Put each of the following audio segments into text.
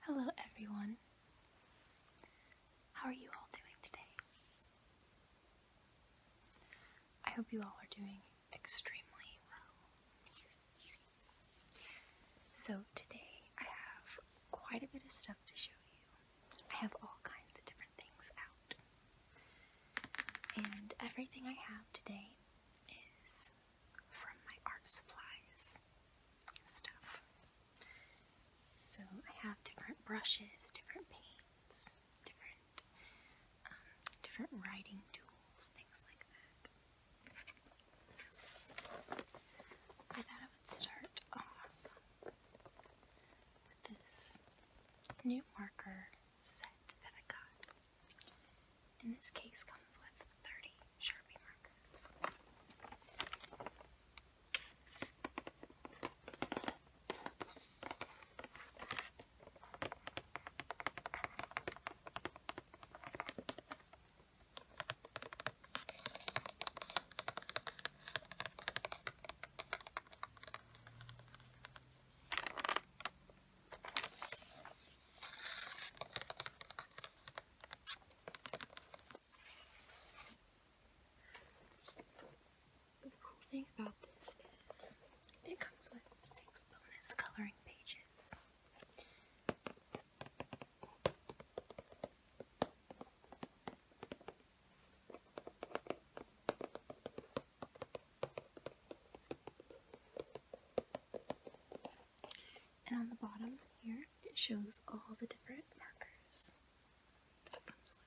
Hello everyone. How are you all doing today? I hope you all are doing extremely well. So today I have quite a bit of stuff to show you. I have all kinds of different things out. And everything I have today is from my art supplies stuff. So I have different brushes, different paints, different um, different writing tools, things like that. So I thought I would start off with this new marker set that I got. And this case comes with 30 Sharpie markers. The cool thing about this is it comes with six bonus coloring pages. And on the bottom here, it shows all the different markers that it comes with.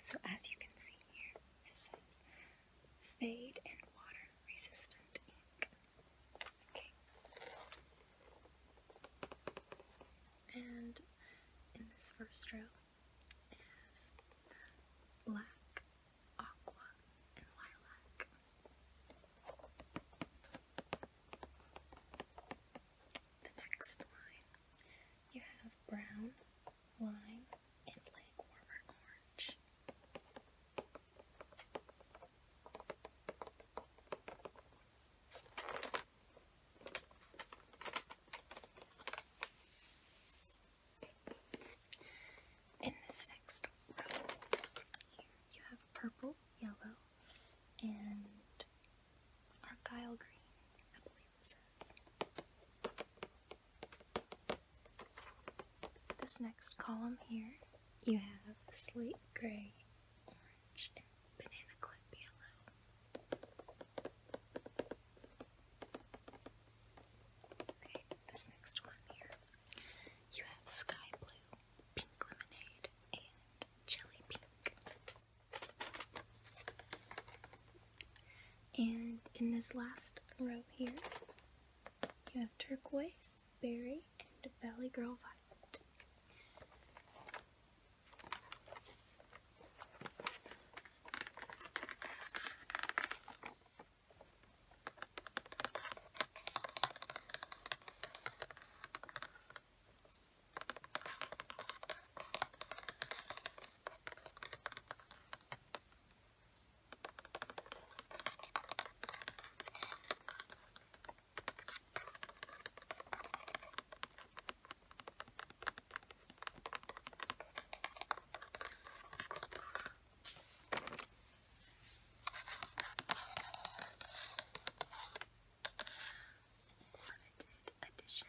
so as you can see here, it says fade and water resistant ink. Okay. And in this first row is black, aqua, and lilac. The next line you have brown, lime, and like warmer orange. In this next row, you have purple, yellow, and Argyle green, This next column here, you have slate gray, orange, and banana clip yellow. Okay, this next one here, you have sky blue, pink lemonade, and jelly pink. And in this last row here, you have turquoise, berry, and belly girl violet limited edition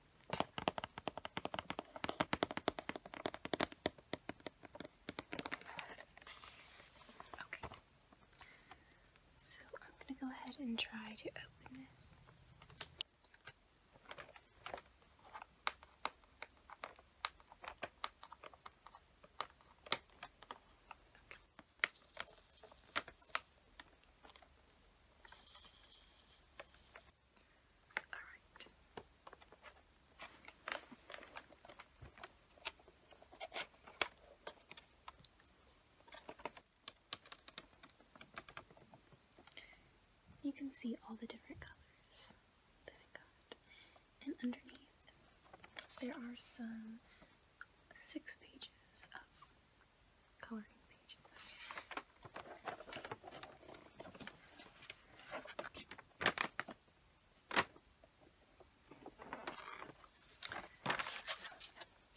Okay. So I'm going to go ahead and try to open this. Alright. You can see all the different colors that I got. And underneath, there are some six pages of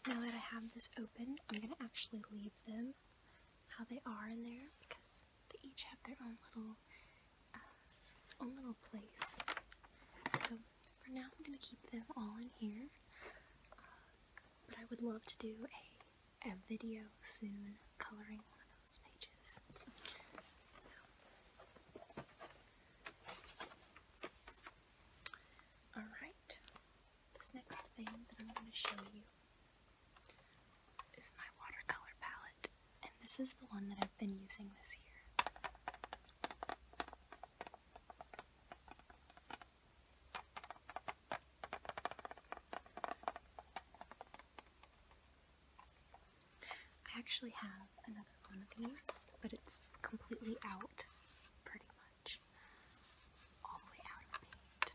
now that I have this open, I'm going to actually leave them how they are in there because they each have their own little, uh, own little place. So, for now, I'm going to keep them all in here. Uh, but I would love to do a, a video soon coloring one of those pages. So, alright, this next thing that I'm going to show you is my watercolor palette, and this is the one that I've been using this year. I actually have another one of these, but it's completely out, pretty much. All the way out of paint.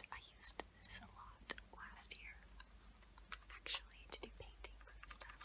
And I used this a lot last year, actually, to do paintings and stuff.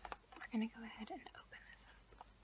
So we're going to go ahead and open this up.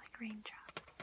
like raindrops.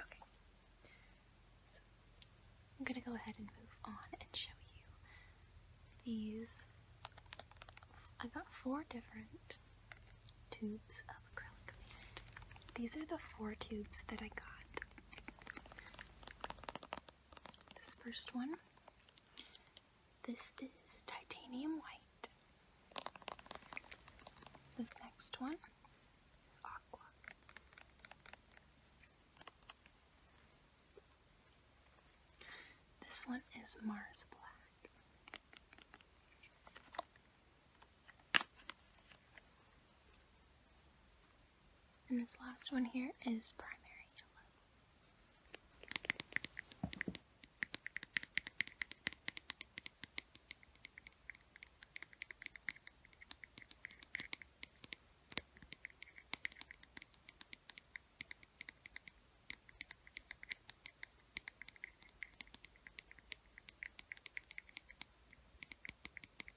Okay. So I'm going to go ahead and move on and show you these. I got four different tubes of acrylic paint. These are the four tubes that I got. This first one, this is titanium white. This next one is aqua. This one is Mars Black. And this last one here is primary yellow.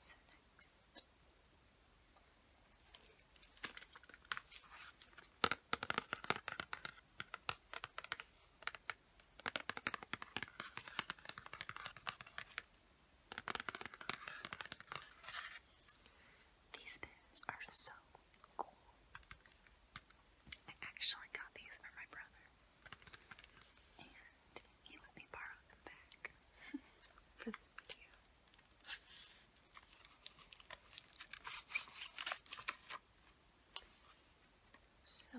So next. These pins are so cool. I actually got these for my brother, did you let me borrow them back for this video? So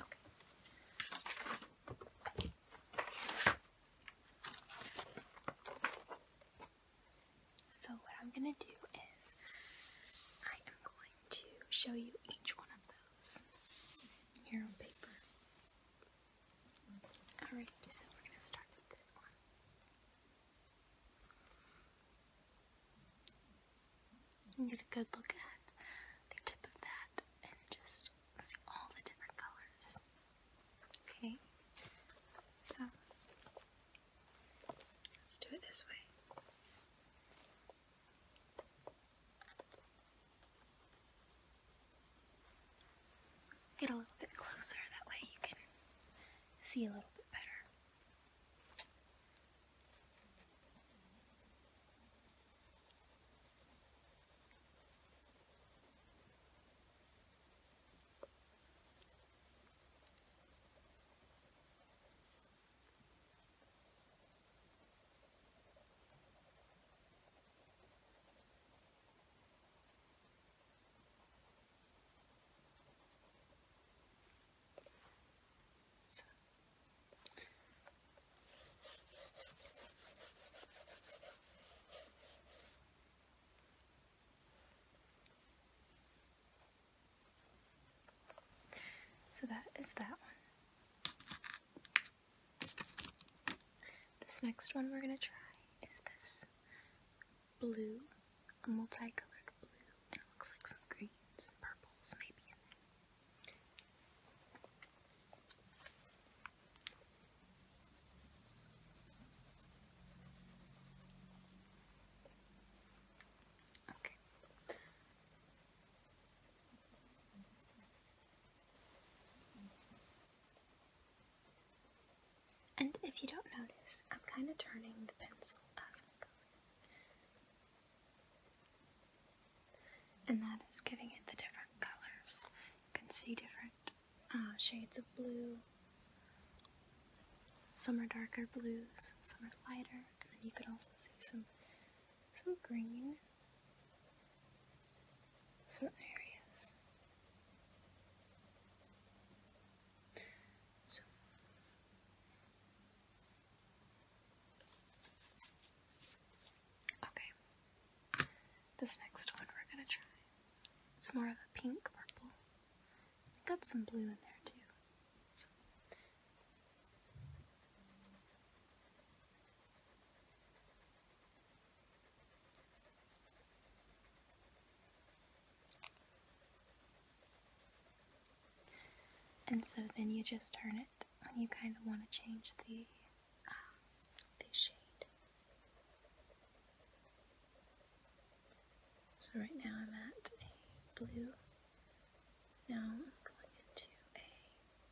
Okay. So, what I'm going to do is I am going to show you each one of those here on paper. Alright, so we're going to start with this one get a good look at the tip of that and just see all the different colors. Okay, so let's do it this way. Get a little bit closer, that way you can see a little bit better. So. that is that one. This next one we're going to try is this blue, a multicolored blue, and it looks like some greens and purples maybe Okay. And if you don't notice, I'm kind of turning the pencil as I go. And that is giving it the different colors. You can see different uh, shades of blue. Some are darker blues, some are lighter, and then you can also see some some green. Certain areas. So Okay. This next one we're gonna try. It's more of a pink purple. Got some blue in there too. And so then you just turn it and you kind of want to change the, um, the shade. So right now I'm at a blue. Now I'm going into a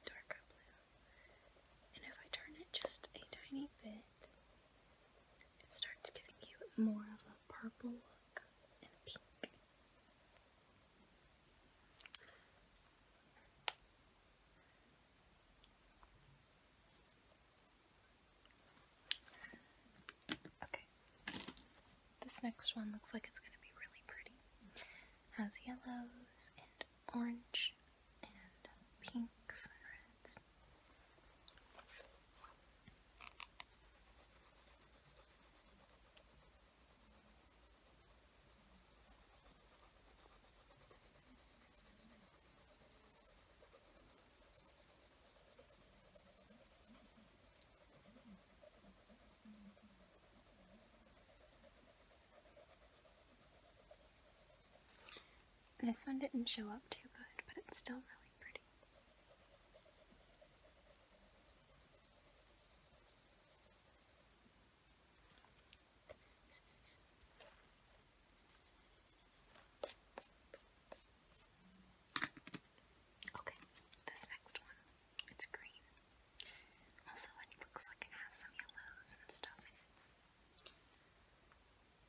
darker blue. And if I turn it just a tiny bit, it starts giving you more of a purple look and pink. Okay, this next one looks like it's going to be really pretty. has yellows and orange and pinks and reds. This one didn't show up too good, but it's still really pretty. Okay, this next one, it's green. Also, it looks like it has some yellows and stuff in it.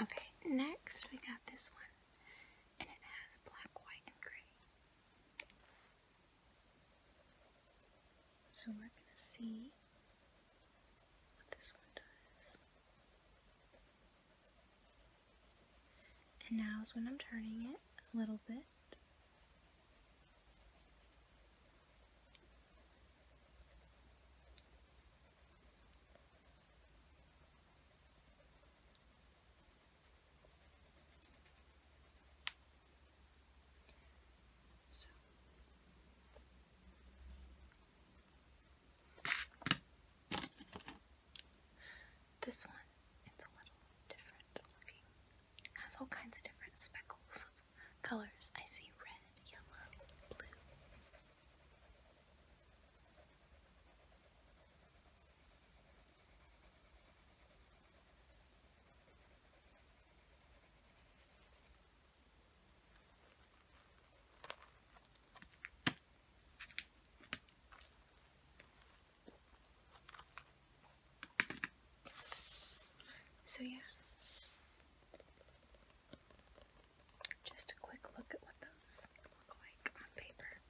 Okay, next we got this one, and it has black, white, and gray. So we're going to see what this one does. And now is when I'm turning it a little bit. So this one, it's a little different It has all kinds of different speckles of colors. I see red, yellow, blue. So yeah, just a quick look at what those look like on paper.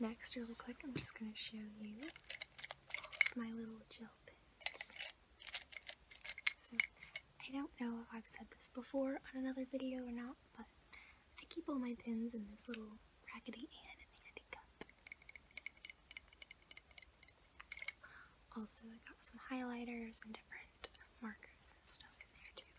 Next, real quick, I'm just going to show you my little gel pins. So, I don't know if I've said this before on another video or not, but I keep all my pins in this little raggedy and. handy cup. Also, I got some highlighters and different markers and stuff in there too.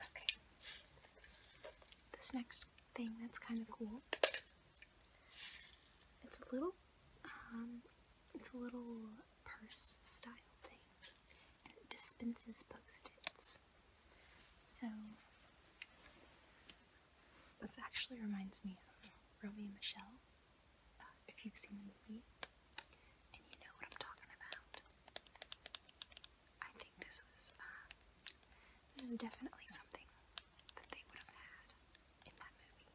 Okay. This next thing that's kind of cool. It's a little, um, it's a little purse style thing and it dispenses post-its. So this actually reminds me of Romy and Michelle, uh, if you've seen the movie and you know what I'm talking about. I think this was, uh, this is definitely something that they would have had in that movie.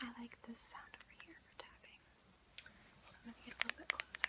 I like this sound over here for tapping. So I'm going to get a little bit closer.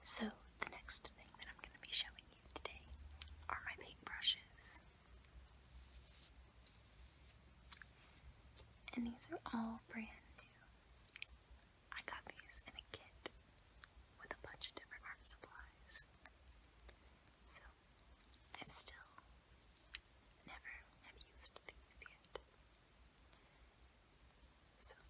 So, the next thing that I'm going to be showing you today are my paintbrushes. And these are all brand new. I got these in a kit with a bunch of different art supplies. So, I've still Never have used these yet. So I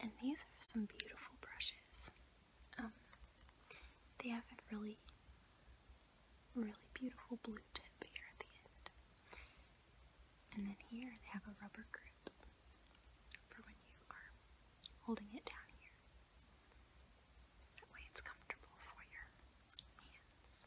and these are some beautiful brushes. Um, they have a really, really beautiful blue tip here at the end. And then here they have a rubber grip for when you are holding it down here. That way it's comfortable for your hands.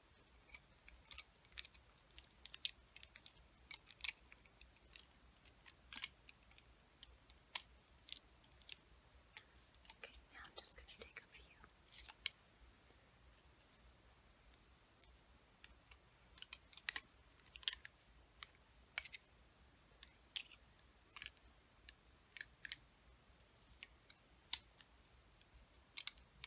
Okay, now I'm just going to take a few. Okay,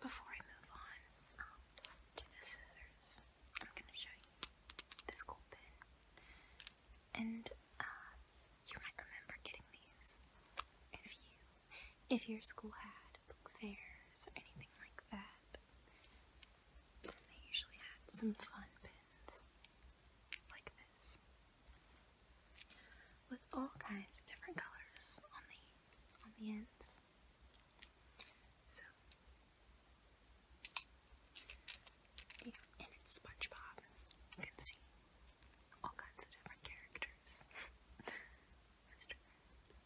Before I move on um, to the scissors, I'm going to show you this cool And uh, you might remember getting these if you, if your school had book fairs or anything like that. They usually had some fun pins like this, with all kinds of different colors on the on the ends. So, in it's SpongeBob, you can see all kinds of different characters. Mr. Krabs,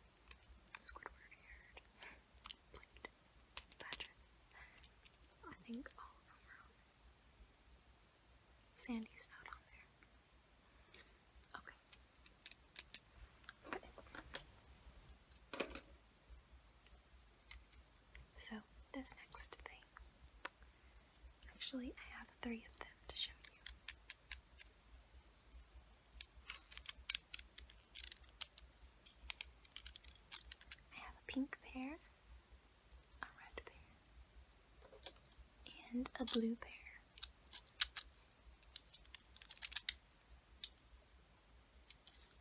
Squidward Heard, Plate, Patrick. I think all of them are on it. Sandy's not on there. Okay. So, this next thing. Actually, I have three of them to show you. I have a pink pair, a red pair, and a blue pair.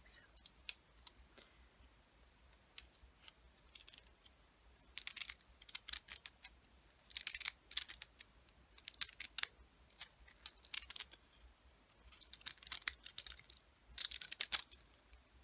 So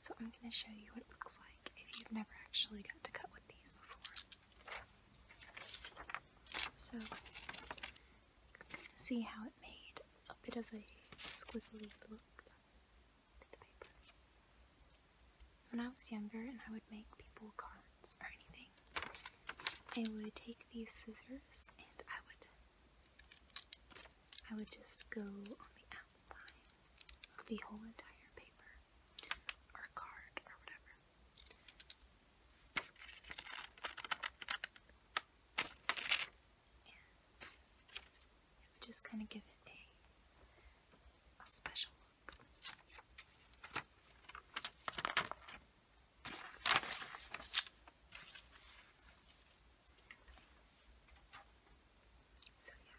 So I'm going to show you what it looks like if you've never actually got to cut with these before. So you can see how it made a bit of a squiggly look When I was younger and I would make people cards or anything, I would take these scissors and I would I would just go on the outline of the whole entire paper or card or whatever. just kind of give it a a special look. So yeah.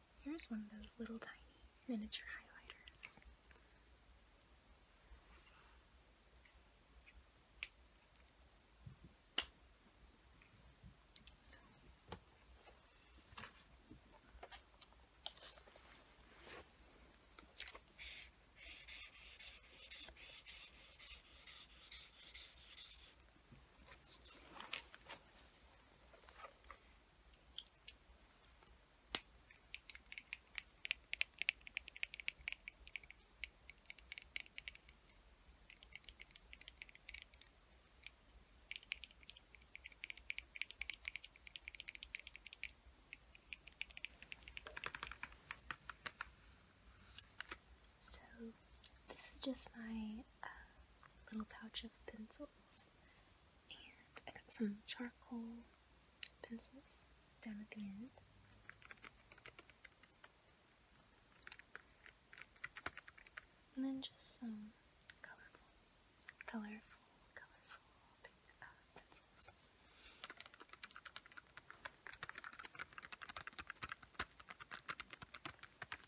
Here's one of those little tiny miniature highlighters. So, this is just my uh, little pouch of pencils. And I got some charcoal pencils down at the end. And then just some colorful, colorful, colorful uh, pencils.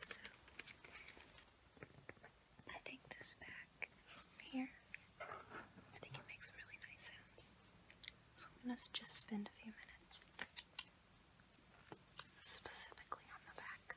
So I think this back here, I think it makes really nice sounds. So I'm going to just spend a few minutes specifically on the back.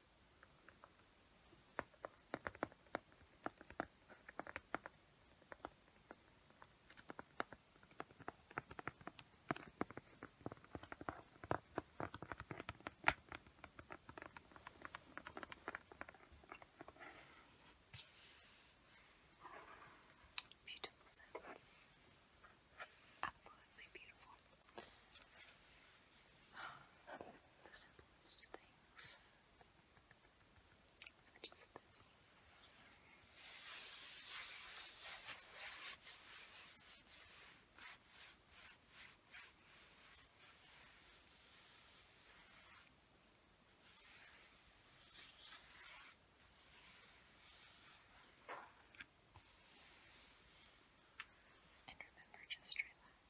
Beautiful sounds. Absolutely beautiful. The simplest things such as And remember, just relax.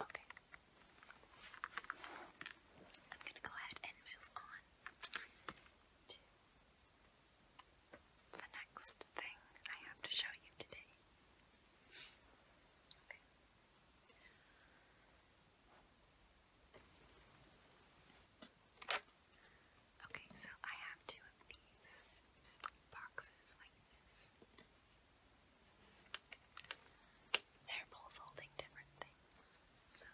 Okay. I'm going to go ahead and move on to the next thing I have to show you today. Okay. Okay, so I have two of these boxes like this. They're both holding different things, so.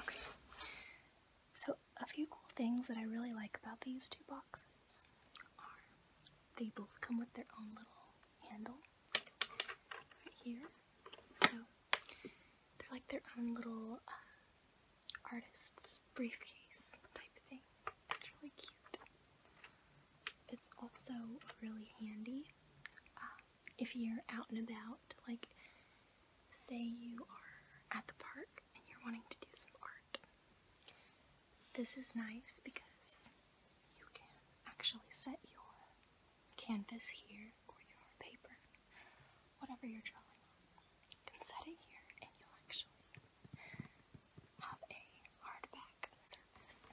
Okay, so a few cool things that I really like about these two boxes are they both come with their own little handle right here. So they're like their own little uh, artist's briefcase type thing. It's really cute. It's also really handy um, if you're out and about. Like, say you are at the park and you're wanting to do some art. This is nice because you can actually set your canvas here or your paper, whatever you're drawing on. You can set it here and you'll actually have a hardback surface.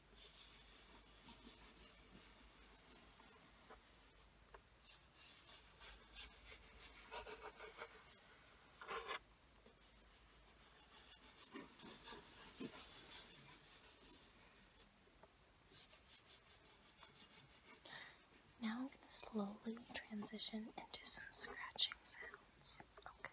Now I'm going to slowly transition into some scratching sounds. Okay.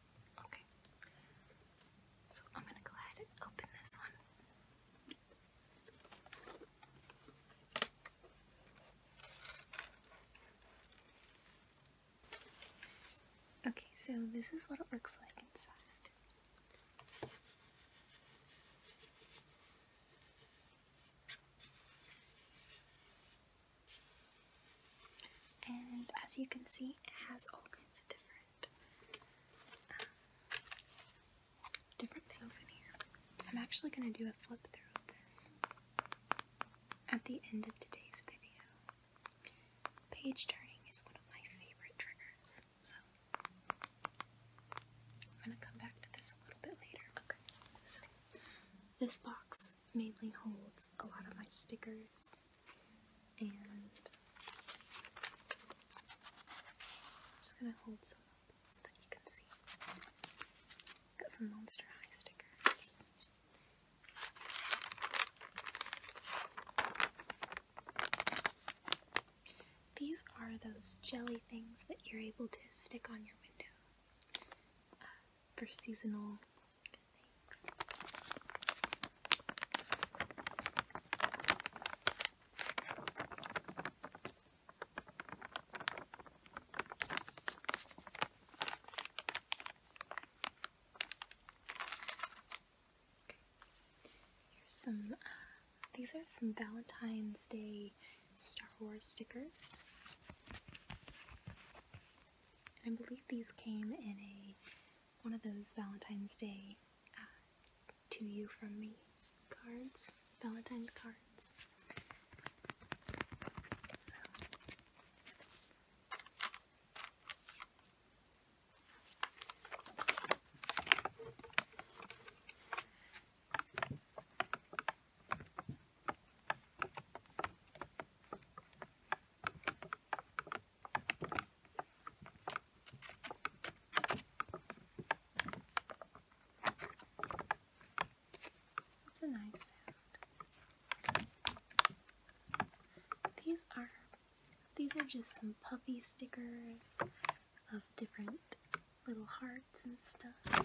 Okay. So I'm going to go ahead and open this one. Okay, so this is what it looks like inside. And as you can see, it has all kinds of different different, um, things in here. I'm actually going to do a flip through of this at the end of today's video. Page turning is one of my favorite triggers, so I'm going to come back to this a little bit later. Okay, so this box mainly holds a lot of my stickers and I'm just going to hold some up so that you can see. Got some Monster High stickers. These are those jelly things that you're able to stick on your window uh, for seasonal Here's some, uh, these are some Valentine's Day Star Wars stickers. I believe these came in a one of those Valentine's Day uh, to you from me cards, Valentine cards. It's a nice sound. These are these are just some puffy stickers of different little hearts and stuff.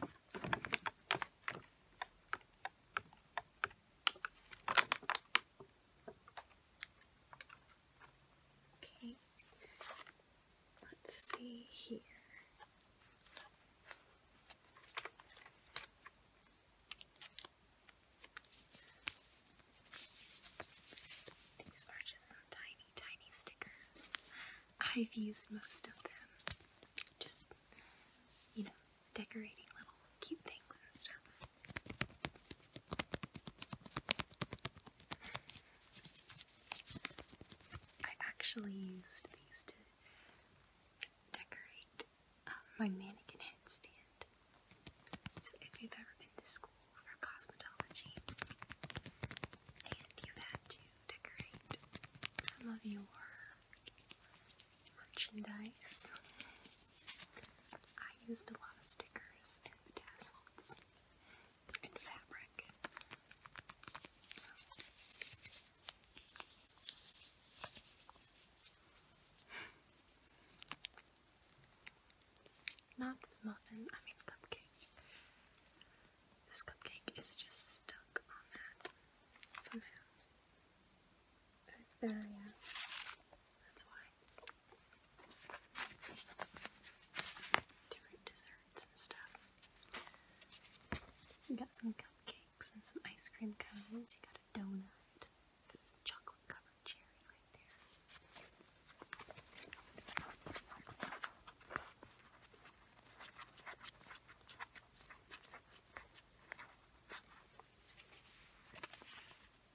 Okay, let's see here. These are just some tiny, tiny stickers. I've used most of them. Just, you know, decorating little cute things and stuff. I actually used these to decorate um, my mannequin headstand. So if you've ever been to school for cosmetology and you've had to decorate some of your merchandise, I used a lot of stickers not this muffin, I mean cupcake. This cupcake is just stuck on that somehow. there, yeah. That's different desserts and stuff. You got some cupcakes and some ice cream cones. You got a donut. There's a chocolate covered cherry right there.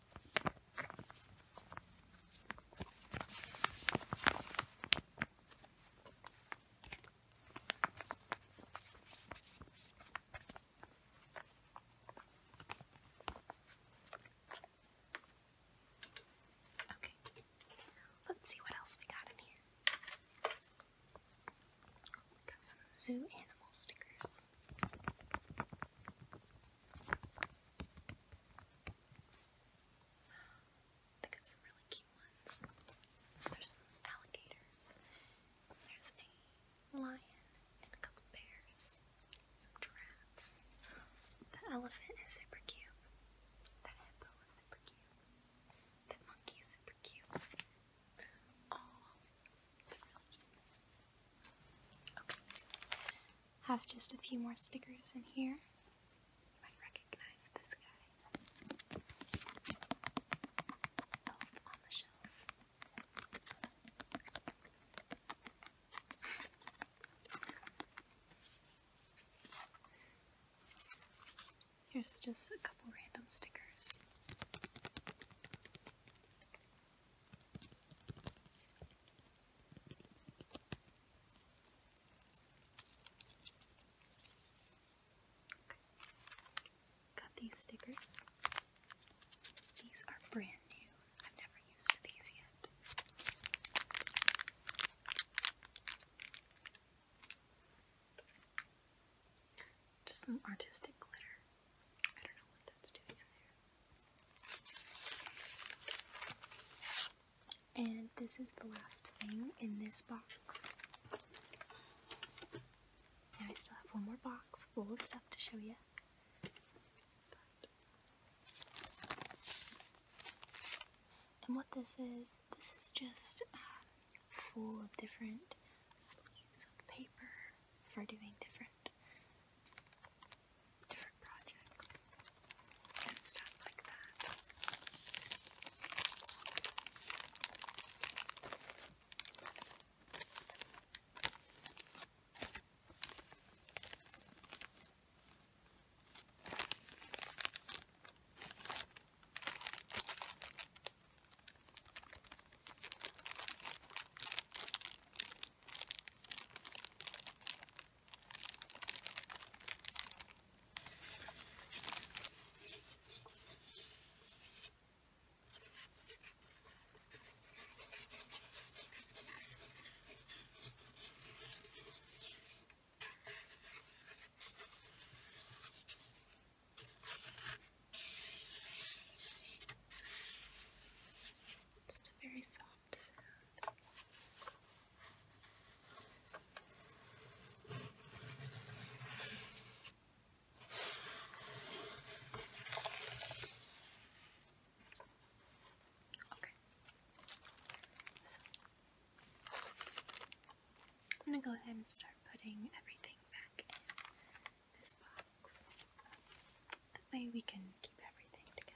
Okay, let's see what else we got in here. We got some zoo animal stickers. They got some really cute ones. There's some alligators. There's a lion and a couple bears. Some giraffes. The elephant is super cute. The hippo is super cute. That monkey is super cute. Oh, they're really cute. Okay, have just a few more stickers in here. You might recognize this guy. Elf on the shelf. Here's just a couple random stickers. Got these stickers. These are brand new. I've never used these yet. Just some artistic glitter. I don't know what that's doing in there. And this is the last thing in this box. I still have one more box full of stuff to show you. and what this is, this is just um, full of different sleeves of paper for doing different different projects and stuff like that. Just a very soft Okay. So I'm going to go ahead and start putting everything back in this box. That way we can keep everything together.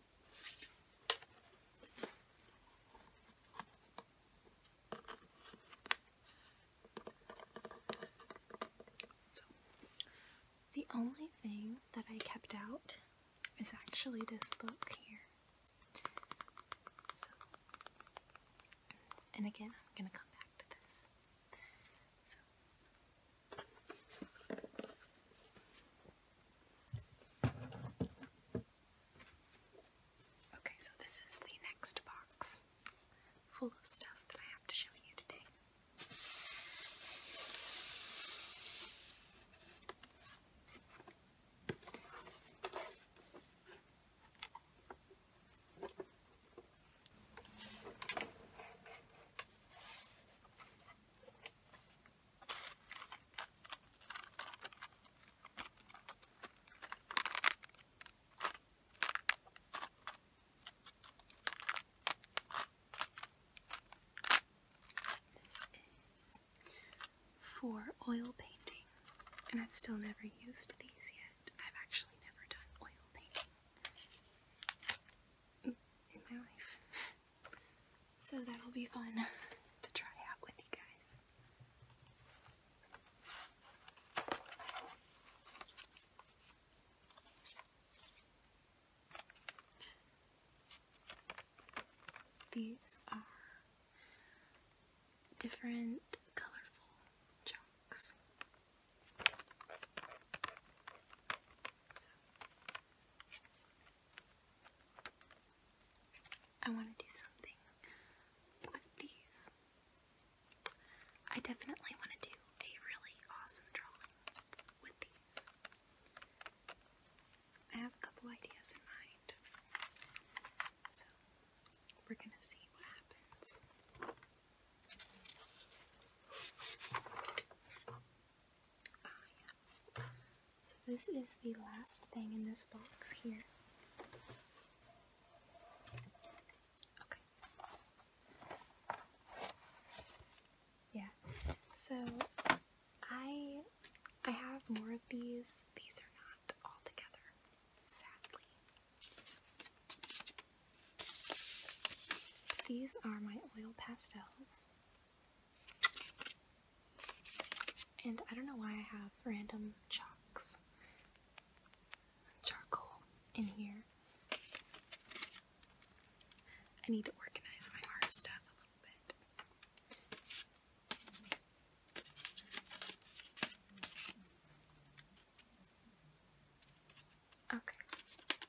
the only thing that I kept out is actually this book here. So, and again, I'm going to come back to this. So, Okay, so this is the next box full of stuff that I have to show you today. This is for oil painting, and I've still never used these yet. I've actually never done oil painting in my life. So that'll be fun to try out with you guys. These are different colorful chunks. I want to do something with these. I definitely want to do a really awesome drawing with these. I have a couple ideas in mind. So, we're going to see what happens. So this is the last thing in this box here. Okay. Yeah. So I I have more of these. These are not all together, sadly. These are my oil pastels. And I don't know why I have random chalks, charcoal in here. I need to organize my art stuff a little bit. Okay.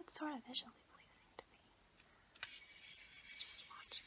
That's sort of visually pleasing to me. Just watching.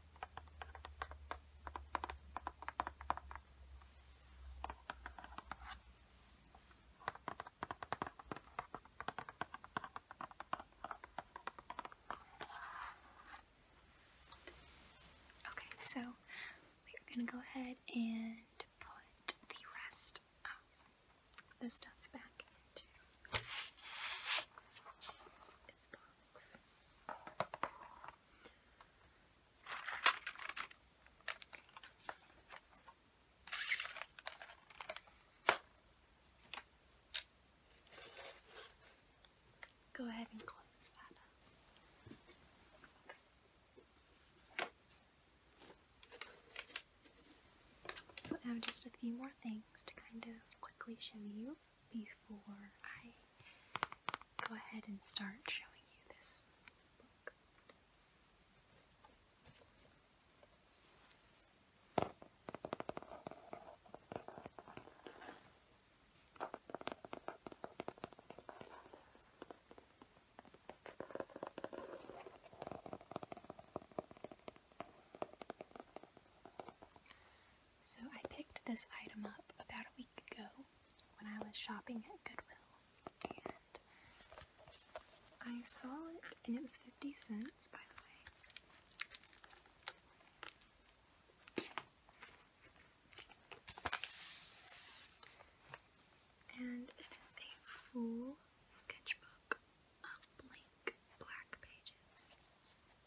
Okay, so we're gonna go ahead and put the rest of the stuff back into this Go ahead and close that up. So now just a few more things to kind of quickly show you before I go ahead and start showing you this book. So I picked this item up about a week ago when I was shopping at Goodwill and I saw it and it was 50 cents by the way. And it is a full sketchbook of blank black pages.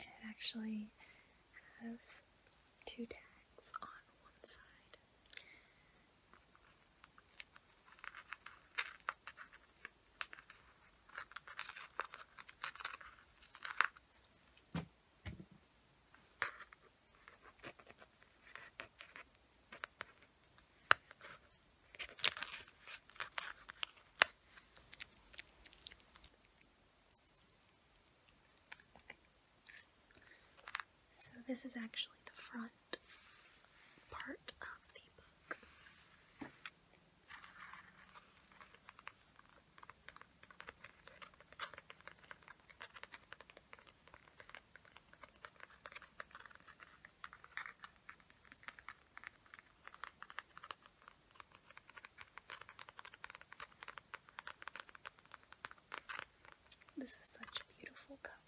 And it actually has two tags on one side. So this is actually the front part of the book. This is such a beautiful cover.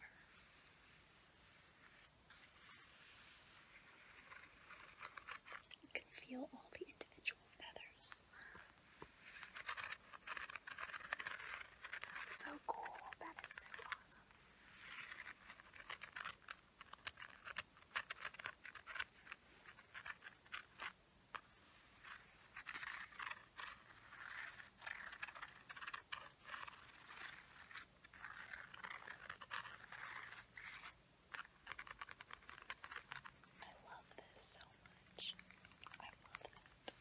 You can feel all the individual feathers. so cool. That is so awesome. I love this so much. I love it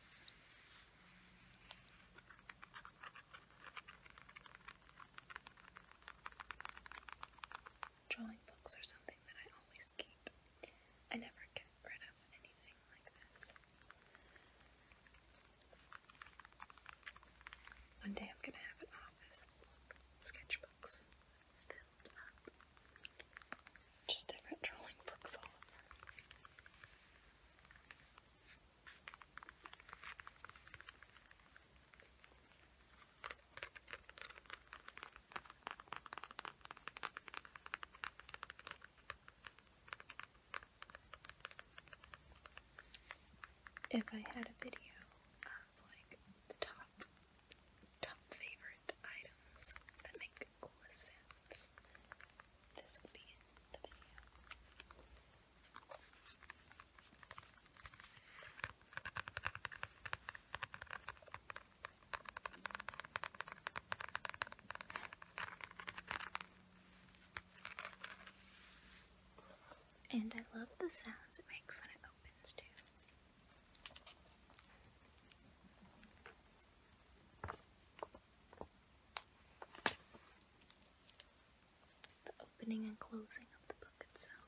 drawing books or something that I always keep. I never get rid of anything like this. One day I'm gonna have an office full of sketchbooks filled up. Just different drawing books all over. If I had a video of like top top favorite items that make the coolest sounds, this would be the video. And I love the sounds it makes when it opens too. The opening and closing of the book itself.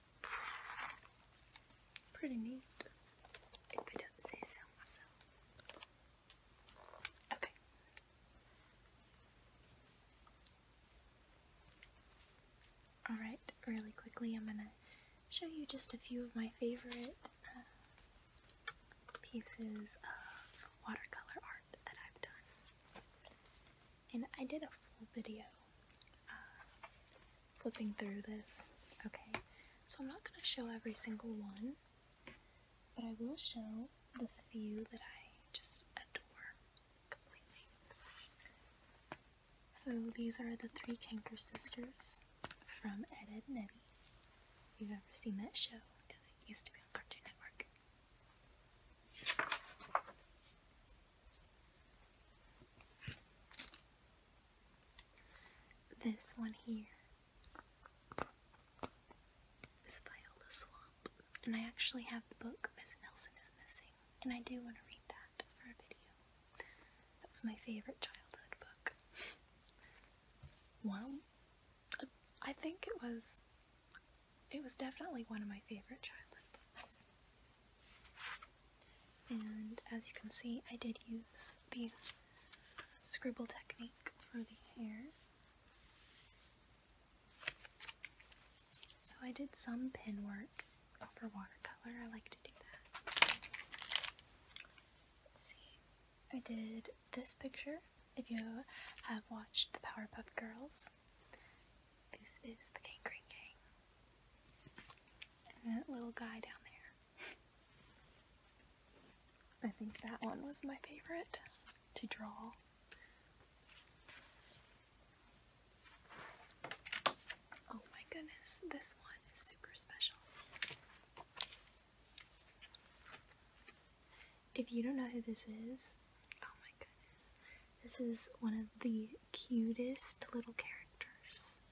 Pretty neat. If I don't say so myself. Okay. Alright, really quickly, I'm gonna show you just a few of my favorite uh, pieces of watercolor art that I've done. And I did a full video uh, flipping through this. Okay, so I'm not going to show every single one, but I will show the few that I just adore completely. So these are the Three Canker Sisters from Ed, Ed and Eddie. If you've ever seen that show, it used to be on Cartoon Network. This one here is Viola Swamp, and I actually have the book Miss Nelson is Missing, and I do want to read that for a video. That was my favorite childhood book. Well, I think it was, it was definitely one of my favorite childhood books. And as you can see, I did use the scribble technique for the hair. So I did some pin work for watercolor. I like to do that. Let's see. I did this picture. If you have watched the Powerpuff Girls, this is the Gangrene Gang. And that little guy down there. I think that one was my favorite to draw. Oh my goodness, this one is super special. If you don't know who this is, oh my goodness, this is one of the cutest little characters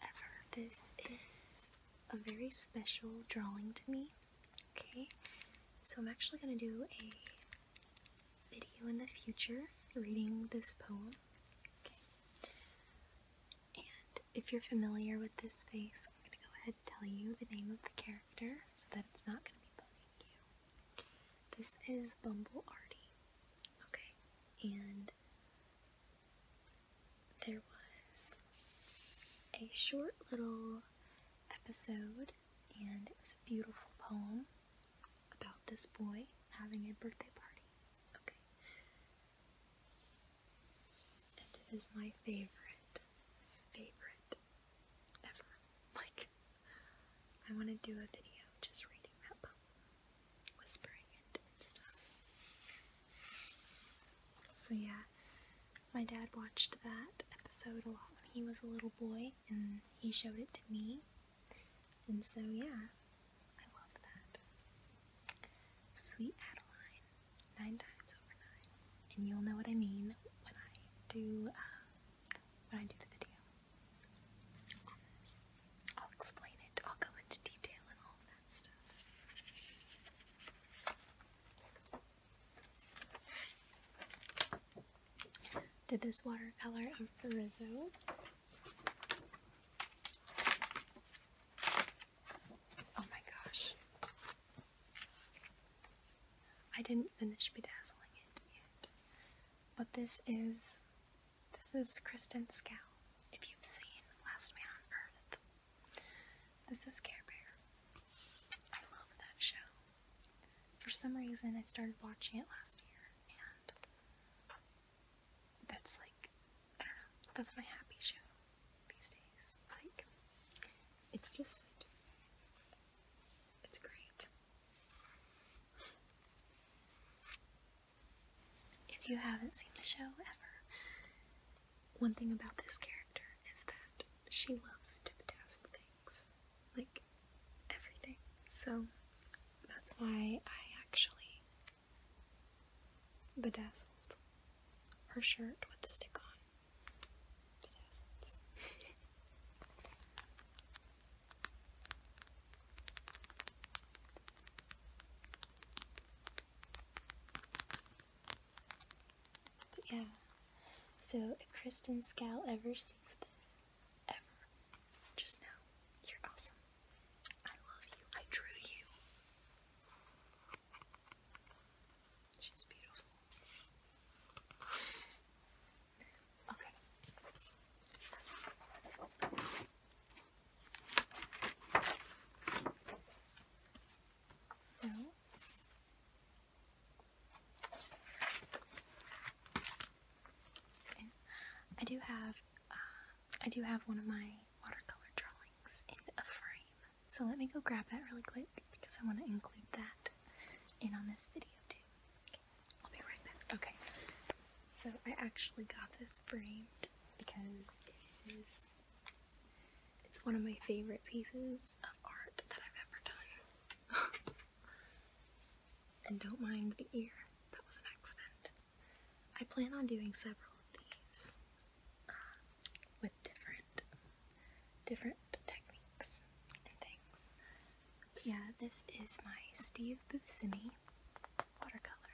ever. This is a very special drawing to me. Okay, so I'm actually going to do a video in the future reading this poem. Okay. And if you're familiar with this face, I'm going to go ahead and tell you the name of the character so that it's not going to be bugging you. This is Bumble Artie. Okay, and there was a short little episode, and it was a beautiful poem about this boy having a birthday party. And it is my favorite, favorite ever. Like, I want to do a video just reading that poem whispering and stuff. So yeah, my dad watched that episode a lot when he was a little boy, and he showed it to me. And so yeah, I love that. Sweet Adeline, nine times over nine, and you'll know what I mean when I do um, when I do the video I'll explain it. I'll go into detail and all that. Did this watercolor of Farizo. Oh my gosh. I didn't finish bedazzling it yet. But this is this is Kristen Scow, if you've seen Last Man on Earth. This is Care Bear. I love that show. For some reason, I started watching it last year, and that's like, I don't know, that's my happy show these days. Like, it's just, it's great. If you haven't seen the show ever, one thing about this character is that she loves to bedazzle things. Like, everything. So, that's why I actually bedazzled her shirt with the stick on yeah, so if Kristen Scal ever sees this, ever, just know you're awesome. I love you. I drew you. She's beautiful. Okay. So I do have uh, I do have one of my watercolor drawings in a frame. So let me go grab that really quick because I want to include that in on this video too. I'll be right back. Okay. So I actually got this framed because it is it's one of my favorite pieces of art that I've ever done. and don't mind the ear. That was an accident. I plan on doing several of these uh, with different different techniques and things. yeah, this is my Steve Buscemi watercolor.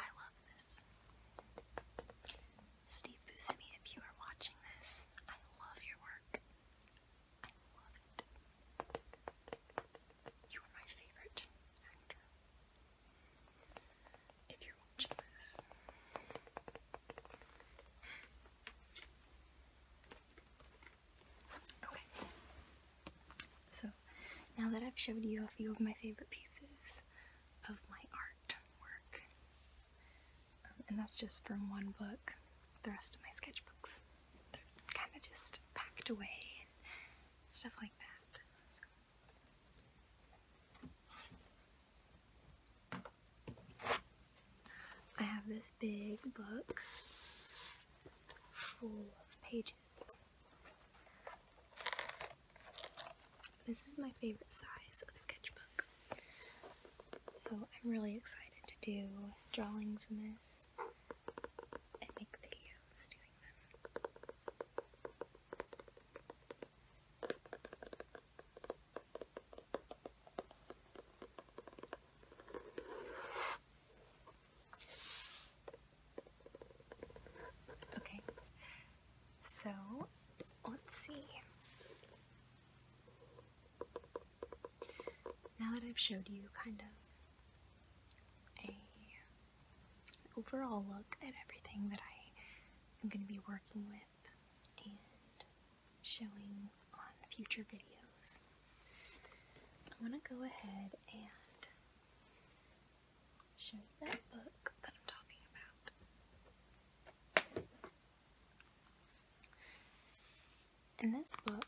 I love this. Steve Buscemi, if you are watching this, I love your work. I love it. You are my favorite actor. If you're watching this. Okay. So, now that I've showed you a few of my favorite pieces of my artwork, um, and that's just from one book, the rest of my sketchbooks, they're kind of just packed away and stuff like that. I have this big book full of pages. This is my favorite size of sketchbook. So I'm really excited to do drawings in this and make videos doing them. Okay, so let's see. Now that I've showed you kind of a overall look at everything that I am going to be working with and showing on future videos. I want to go ahead and show that book that I'm talking about. In this book,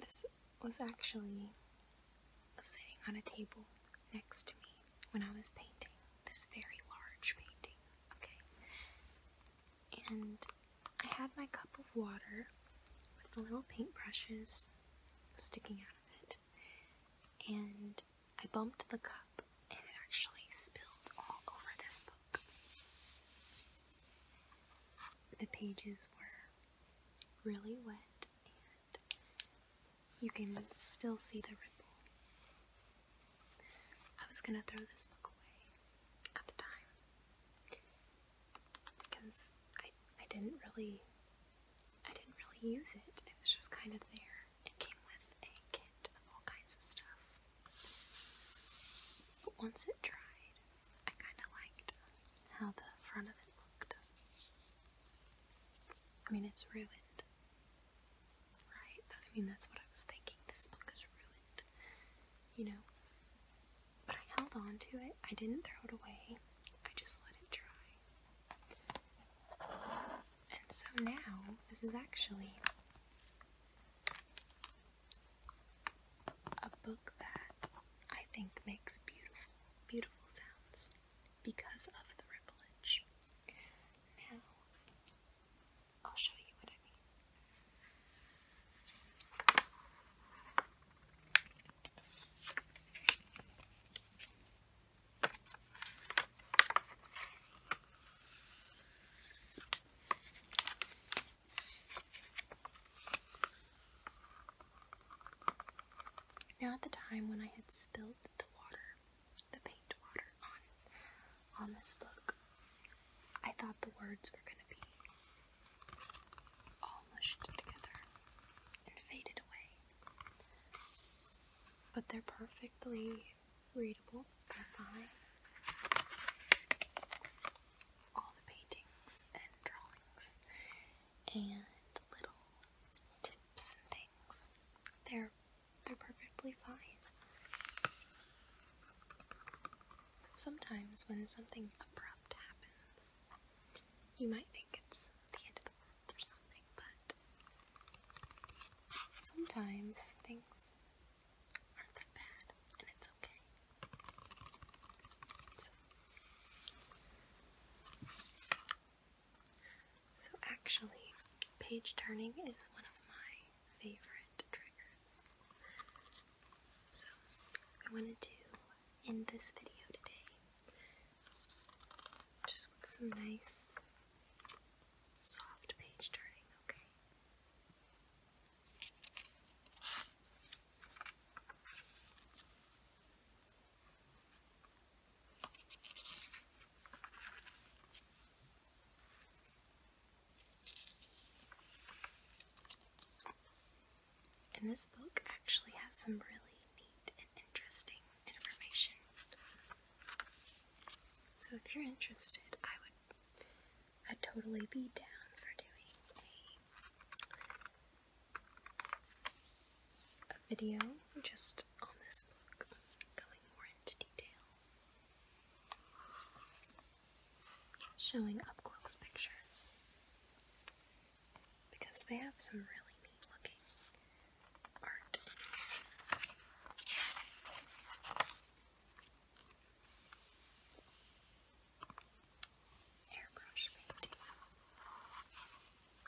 this was actually sitting on a table next to me when I was painting this very large painting, okay? And I had my cup of water with the little paintbrushes sticking out of it, and I bumped the cup, and it actually spilled all over this book. The pages were really wet, and you can still see the ripple. I was gonna throw this book away at the time because I I didn't really I didn't really use it. It was just kind of there. It came with a kit of all kinds of stuff. But once it dried, I kind of liked how the front of it looked. I mean, it's ruined, Right? I mean, that's what I was thinking. This book is ruined, you know. But I held on to it. I didn't throw it away. I just let it dry. And so now, this is actually a book that I think makes beautiful, beautiful sounds because of the ripplage. Now, I'll show you what I mean. Now, at the time when I had spilled the water, the paint water on on this book. I thought the words were going to be all mushed together and faded away. But they're perfectly readable. They're fine. All the paintings and drawings and little tips and things. They're they're perfectly fine. So sometimes when something abrupt happens, you might think it's the end of the world or something, but sometimes things aren't that bad and it's okay. So, actually, page turning is one of my favorite triggers. So, I wanted to do in this video today just with some nice, soft page turning, okay? And this book actually has some really neat and interesting information. So if you're interested, I would I'd totally be down for doing a a video just on this book, going more showing up close pictures because they have some really neat looking art. Airbrush painting.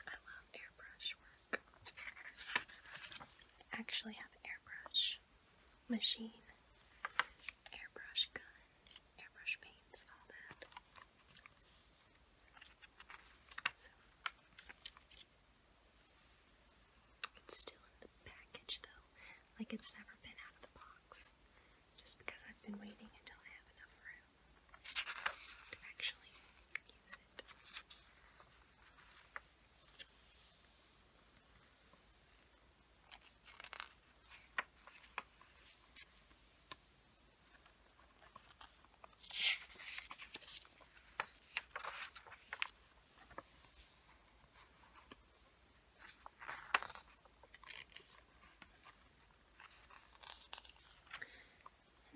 I love airbrush work. I actually have airbrush machine, airbrush gun, airbrush paints, all that. So it's still in the package though, like it's never been out of the box. Just because I've been waiting until I have enough room to actually use it.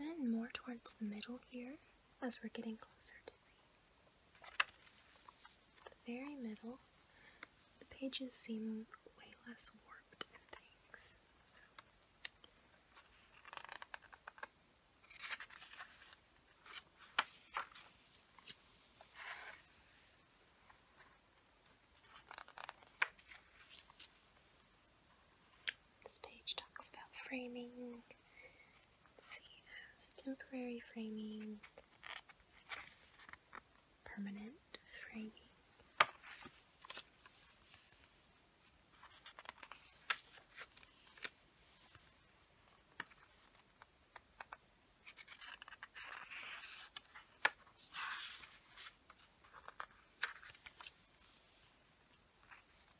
And then more towards the middle here as we're getting closer to the the very middle, the pages seem way less warped and things. This page talks about framing see as temporary framing, permanent framing.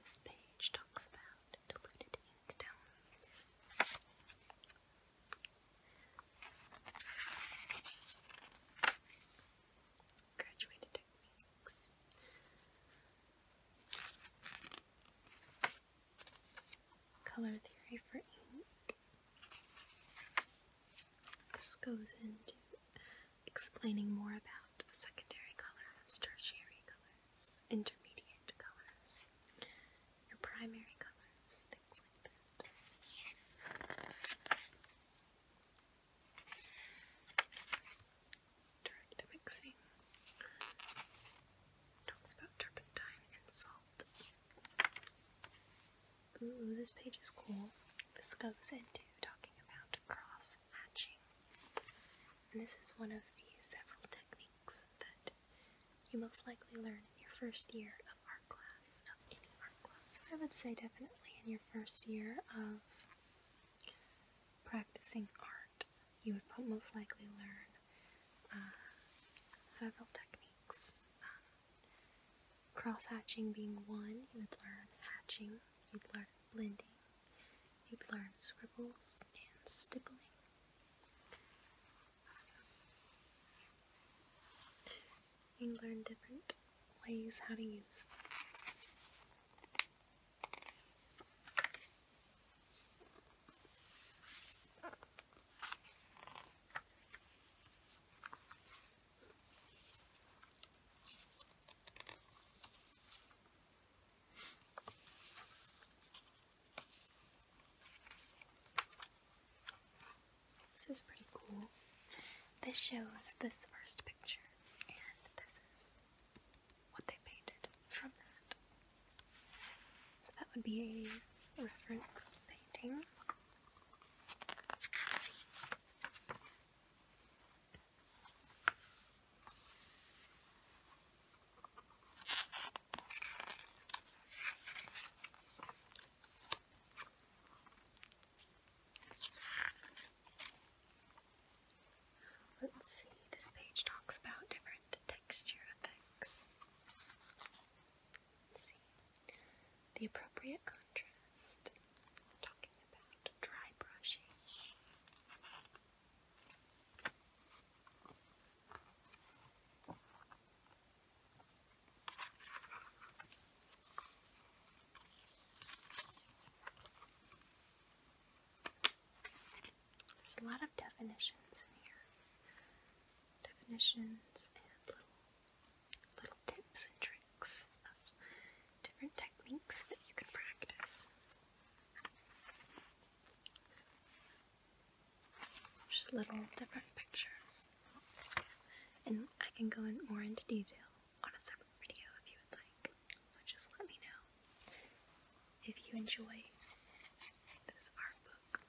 This page talks about diluted ink Graduated techniques color theory for ink. This goes into explaining more about secondary colors, tertiary colors, intermediate colors, your primary colors, things like that. Direct mixing. Talks about turpentine and salt. Ooh, this page is cool. This goes into talking about cross hatching. And this is one of the several techniques that you most likely learn in your first year of art class, any art class. I would say definitely in your first year of practicing art you would most likely learn uh, several techniques. Um, cross hatching being one, you would learn hatching, you'd learn blending, you'd learn swivels and stippling. So, you learn different ways how to use these. This is pretty cool. This shows this first picture, and this is what they painted from that. So that would be a reference painting. Let's see, this page talks about different texture effects see. The appropriate contrast. talking about dry brushing. There's a lot of definitions in here. Definitions and little, little tips and tricks of different techniques that you can practice. just little different pictures. And I can go in more into detail on a separate video if you would like. So just let me know if you enjoy this art book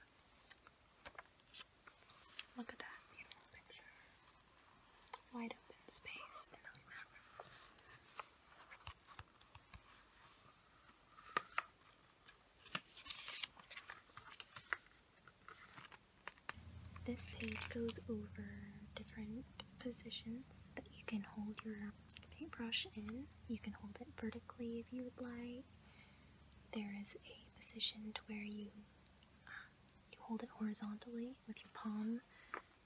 Look at that beautiful picture. Wide open space in those mountains. This page goes over different positions that you can hold your paintbrush in. You can hold it vertically if you would like there is a position to where you um, you hold it horizontally with your palm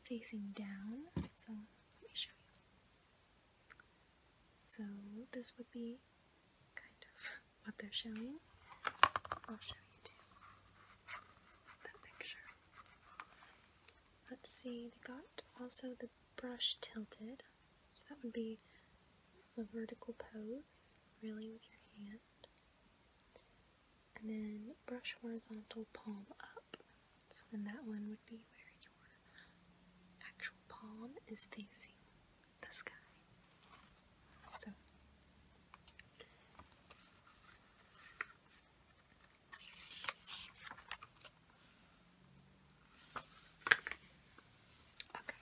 facing down. So let me show you. So this would be kind of what they're showing. I'll show you too. That picture. Let's see, they got also the brush tilted. So that would be the vertical pose, really, with your hand. And then brush horizontal palm up. So then that one would be where your actual palm is facing the sky. So Okay.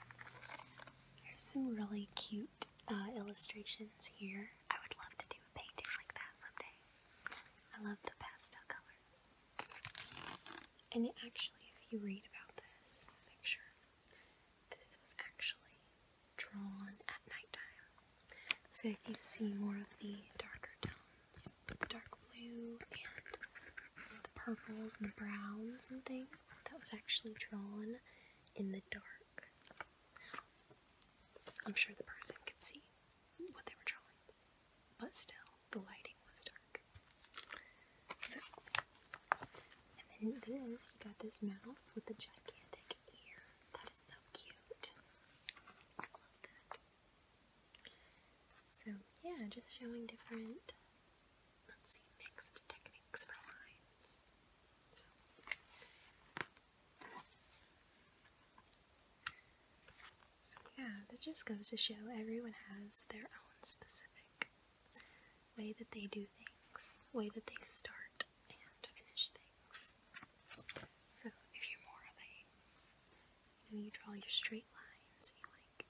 There's some really cute uh, illustrations here. I would love to do a painting like that someday. I love the pastel colors. And actually, if you read about this sure this was actually drawn at nighttime. So if you see more of the darker tones, dark blue and purples and the browns and things. That was actually drawn in the dark. I'm sure the person could see what they were drawing, but still, the lighting was dark. and then this, got this mouse with the gigantic ear. That is so cute. I love that. So, yeah, just showing different let's see, mixed techniques for lines. So. yeah, this just goes to show everyone has their own specific way that they do things, way that they start and finish things. So, if you're more of a, you know, you draw your straight lines,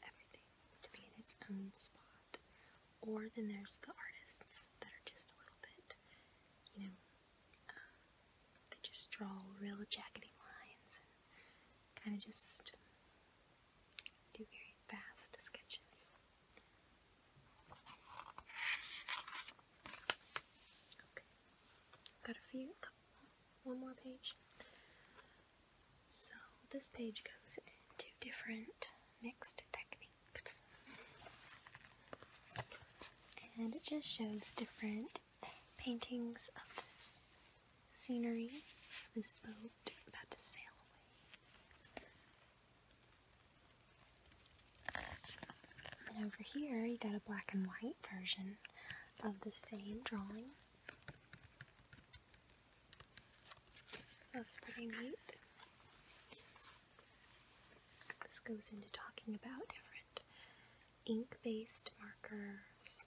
everything to be in its own spot. Or then there's the artists that are just a little bit, you know, uh, they just draw real jackety lines and kind of just do very fast sketches. got a few, one more page. So this page goes into different mixed techniques. And it just shows different paintings of this scenery, this boat about to sail away. And over here you got a black and white version of the same drawing. So that's pretty neat. This goes into talking about different ink-based markers,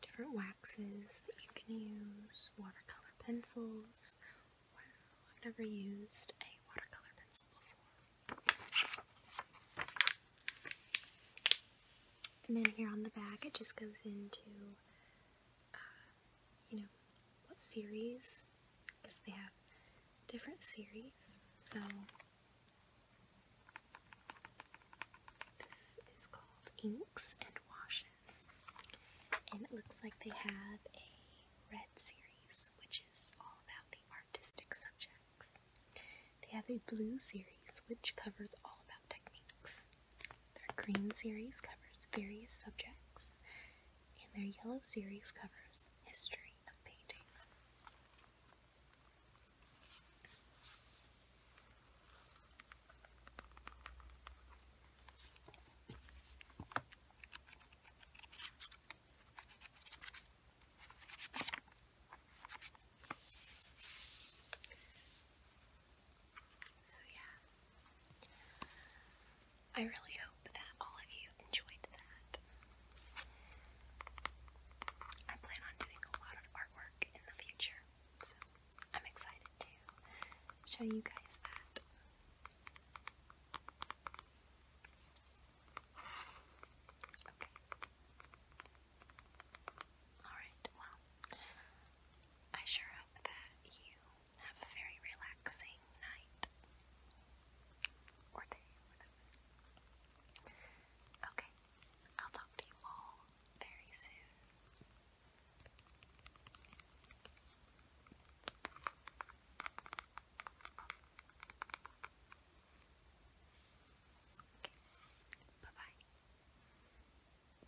different waxes that you can use, watercolor pencils. I've never used a watercolor pencil before. And then here on the back, it just goes into uh, you know, what series, because they have different series. So, this is called Inks and Washes, and it looks like they have a red series, which is all about the artistic subjects. They have a blue series, which covers all about techniques. Their green series covers various subjects, and their yellow series covers history of painting. So, yeah. I really hope that all of you enjoyed that. I plan on doing a lot of artwork in the future, so I'm excited to show you guys that. Alright, well, I sure hope that you have a very relaxing night or day, Okay, I'll talk to you all very soon. Okay, bye bye.